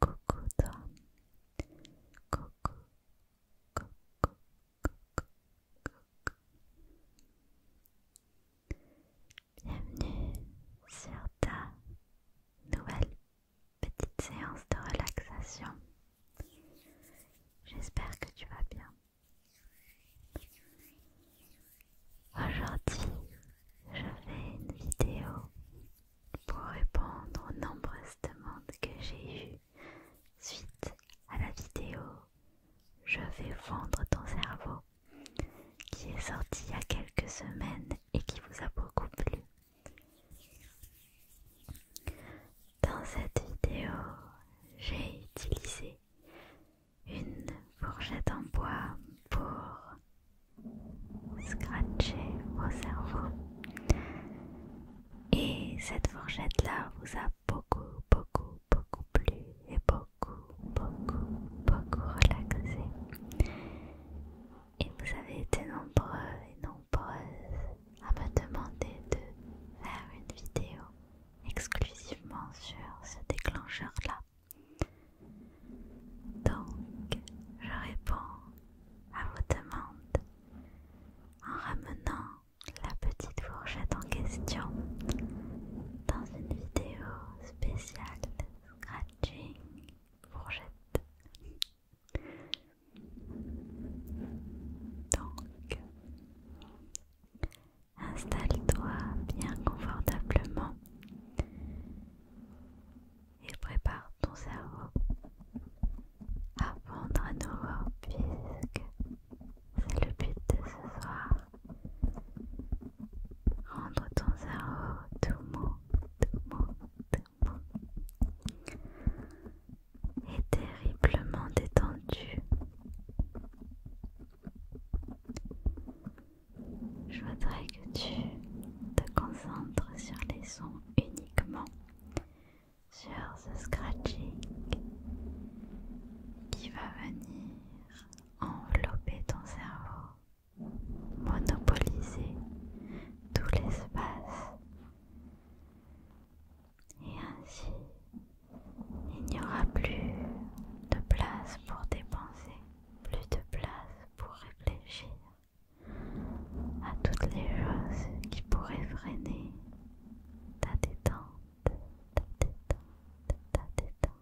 Coucou toi. Coucou, coucou, coucou, coucou. Bienvenue sur ta nouvelle petite séance de relaxation. J'espère que tu vas bien. Aujourd'hui, je fais une vidéo pour répondre aux nombreuses demandes que j'ai eues suite à la vidéo Je vais vendre ton cerveau qui est sorti il y a quelques semaines et qui vous a beaucoup plu. Dans cette vidéo, j'ai utilisé une fourchette en bois pour scratcher vos cerveaux. Et cette fourchette-là vous a beaucoup, beaucoup, beaucoup plu et beaucoup, beaucoup, beaucoup relaxé. Et vous avez été nombreux et nombreuses à me demander de faire une vidéo exclusivement sur ce déclencheur-là. Donc, je réponds à vos demandes en ramenant la petite fourchette en question dans une vidéo spéciale de scratching fourchette. Donc, Installe-toi bien confortablement et prépare ton cerveau à prendre à nouveau puisque c'est le but de ce soir. Rendre ton cerveau tout mou, tout mou, tout mou et terriblement détendu. Je voudrais que tu te concentres sur les sons uniquement, sur ce scratching qui va venir envelopper ton cerveau, monopoliser tout l'espace et ainsi il n'y aura plus de place pour dépenser, plus de place pour réfléchir à toutes les choses qui pourraient freiner ta détente, ta détente, ta détente.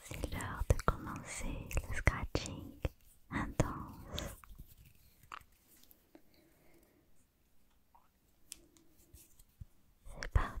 C'est l'heure de commencer le scratching intense. C'est parti.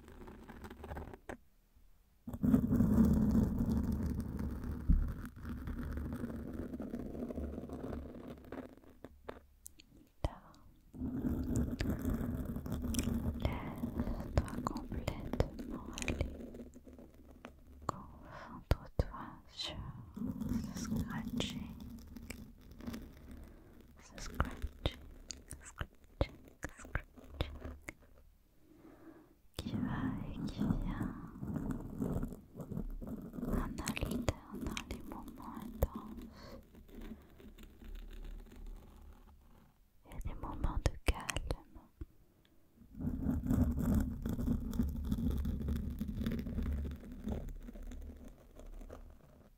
Laisse-toi complètement aller. Concentre-toi sur ce scratching. Ce scratching, scratching, qui va et qui vient en alternant les moments intenses et des moments de calme.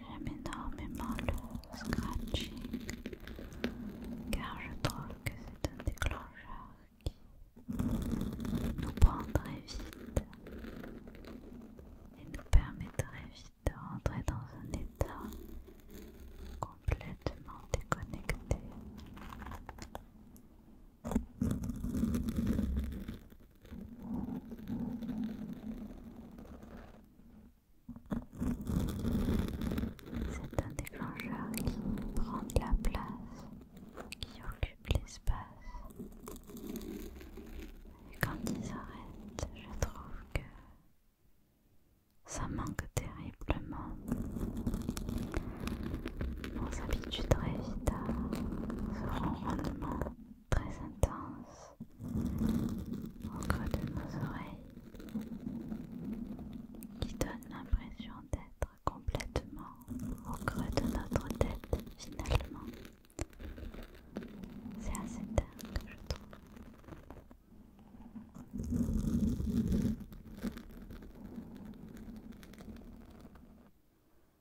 J'aime énormément le scratching car je trouve que c'est un déclencheur qui nous prendrait vite et nous permettrait vite de rentrer dans un état complètement déconnecté. C'est un déclencheur qui prend de la place, qui occupe l'espace. Et quand ils arrêtent, je trouve que ça manque terriblement. On s'habitue très vite à ce très intense au creux de nos oreilles qui donne l'impression d'être complètement au creux de notre tête finalement. C'est assez dingue je trouve.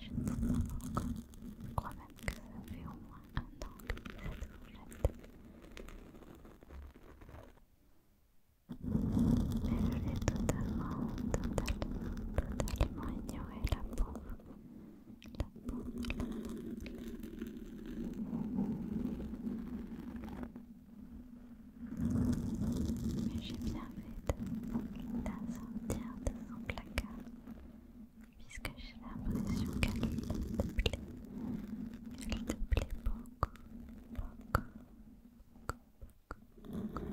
je ne sais pas Je crois même que ça fait au moins un an que cette fourchette. Mais je l'ai totalement, totalement, totalement ignoré la pauvre. La pauvre. Mais j'ai bien fait de la sortir de son placard puisque j'ai l'impression qu'elle te plaît. Elle te plaît beaucoup, beaucoup, beaucoup, beaucoup, beaucoup.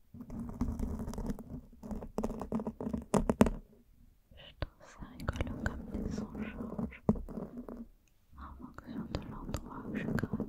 Je trouve ça rigolo comme des sons changent ah, en fonction de l'endroit où je gratte.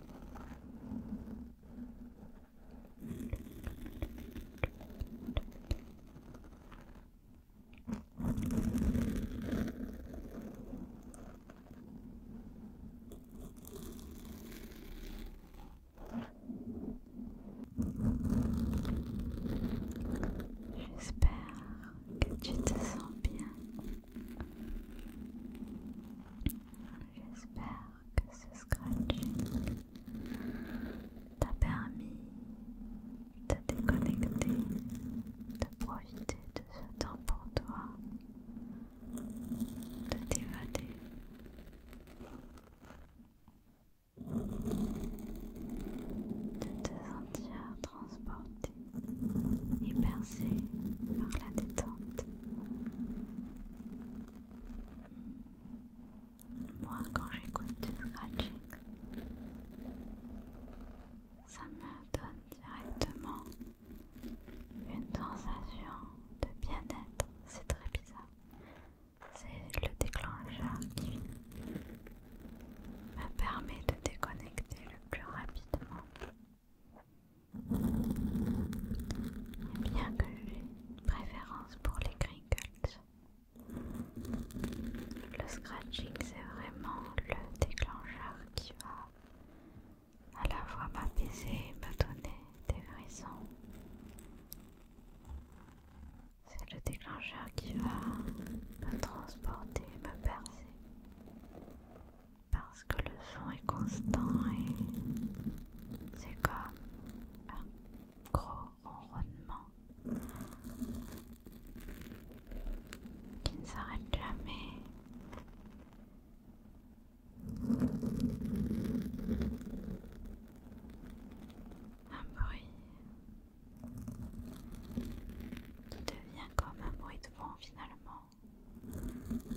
J'espère que tu te sens bien. J'espère que ce scratch t'a permis de te déconnecter, de profiter de ce temps pour toi, de t'évader. De te sentir transporté et percé par la détente. Moi, quand j'écoute du scratching, ça me donne directement une sensation de bien-être. C'est très bizarre. C'est le déclencheur qui me permet de déconnecter le plus rapidement bien que j'ai une préférence pour les crinkles, le scratching c'est vraiment le déclencheur qui va à la fois m'apaiser et me donner des frissons. C'est le déclencheur qui va me transporter, me percer parce que le son est constant et c'est comme un gros ronronnement qui ne s'arrête jamais. Un bruit qui devient comme un bruit de vent finalement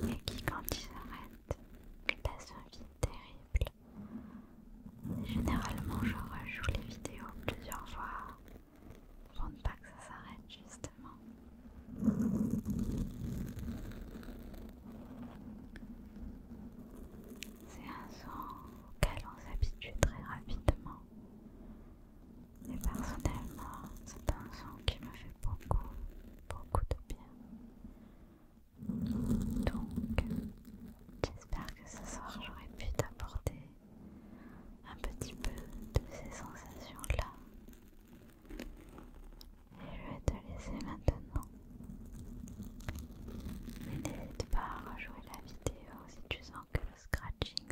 et qui, quand ils s'arrête, passe un vide terrible. Généralement, je rejoue les vidéos plusieurs fois pour ne pas que ça s'arrête, justement. C'est un son auquel on s'habitue très rapidement et personnellement, c'est un son qui me fait beaucoup, beaucoup de bien. Donc, j'espère que ce soir j'aurais pu t'apporter un petit peu de ces sensations-là. Et je vais te laisser maintenant. Mais n'hésite pas à rejouer la vidéo si tu sens que le scratching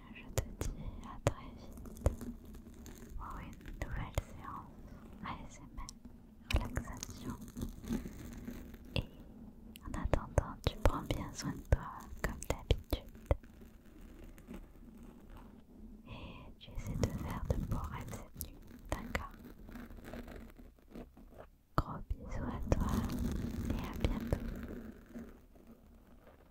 je te dis à très vite pour une nouvelle séance ASMR, relaxation. Et en attendant, tu prends bien soin de toi comme d'habitude. Et tu essaies de faire de beaux rêves cette nuit, d'accord Gros bisous à toi et à bientôt.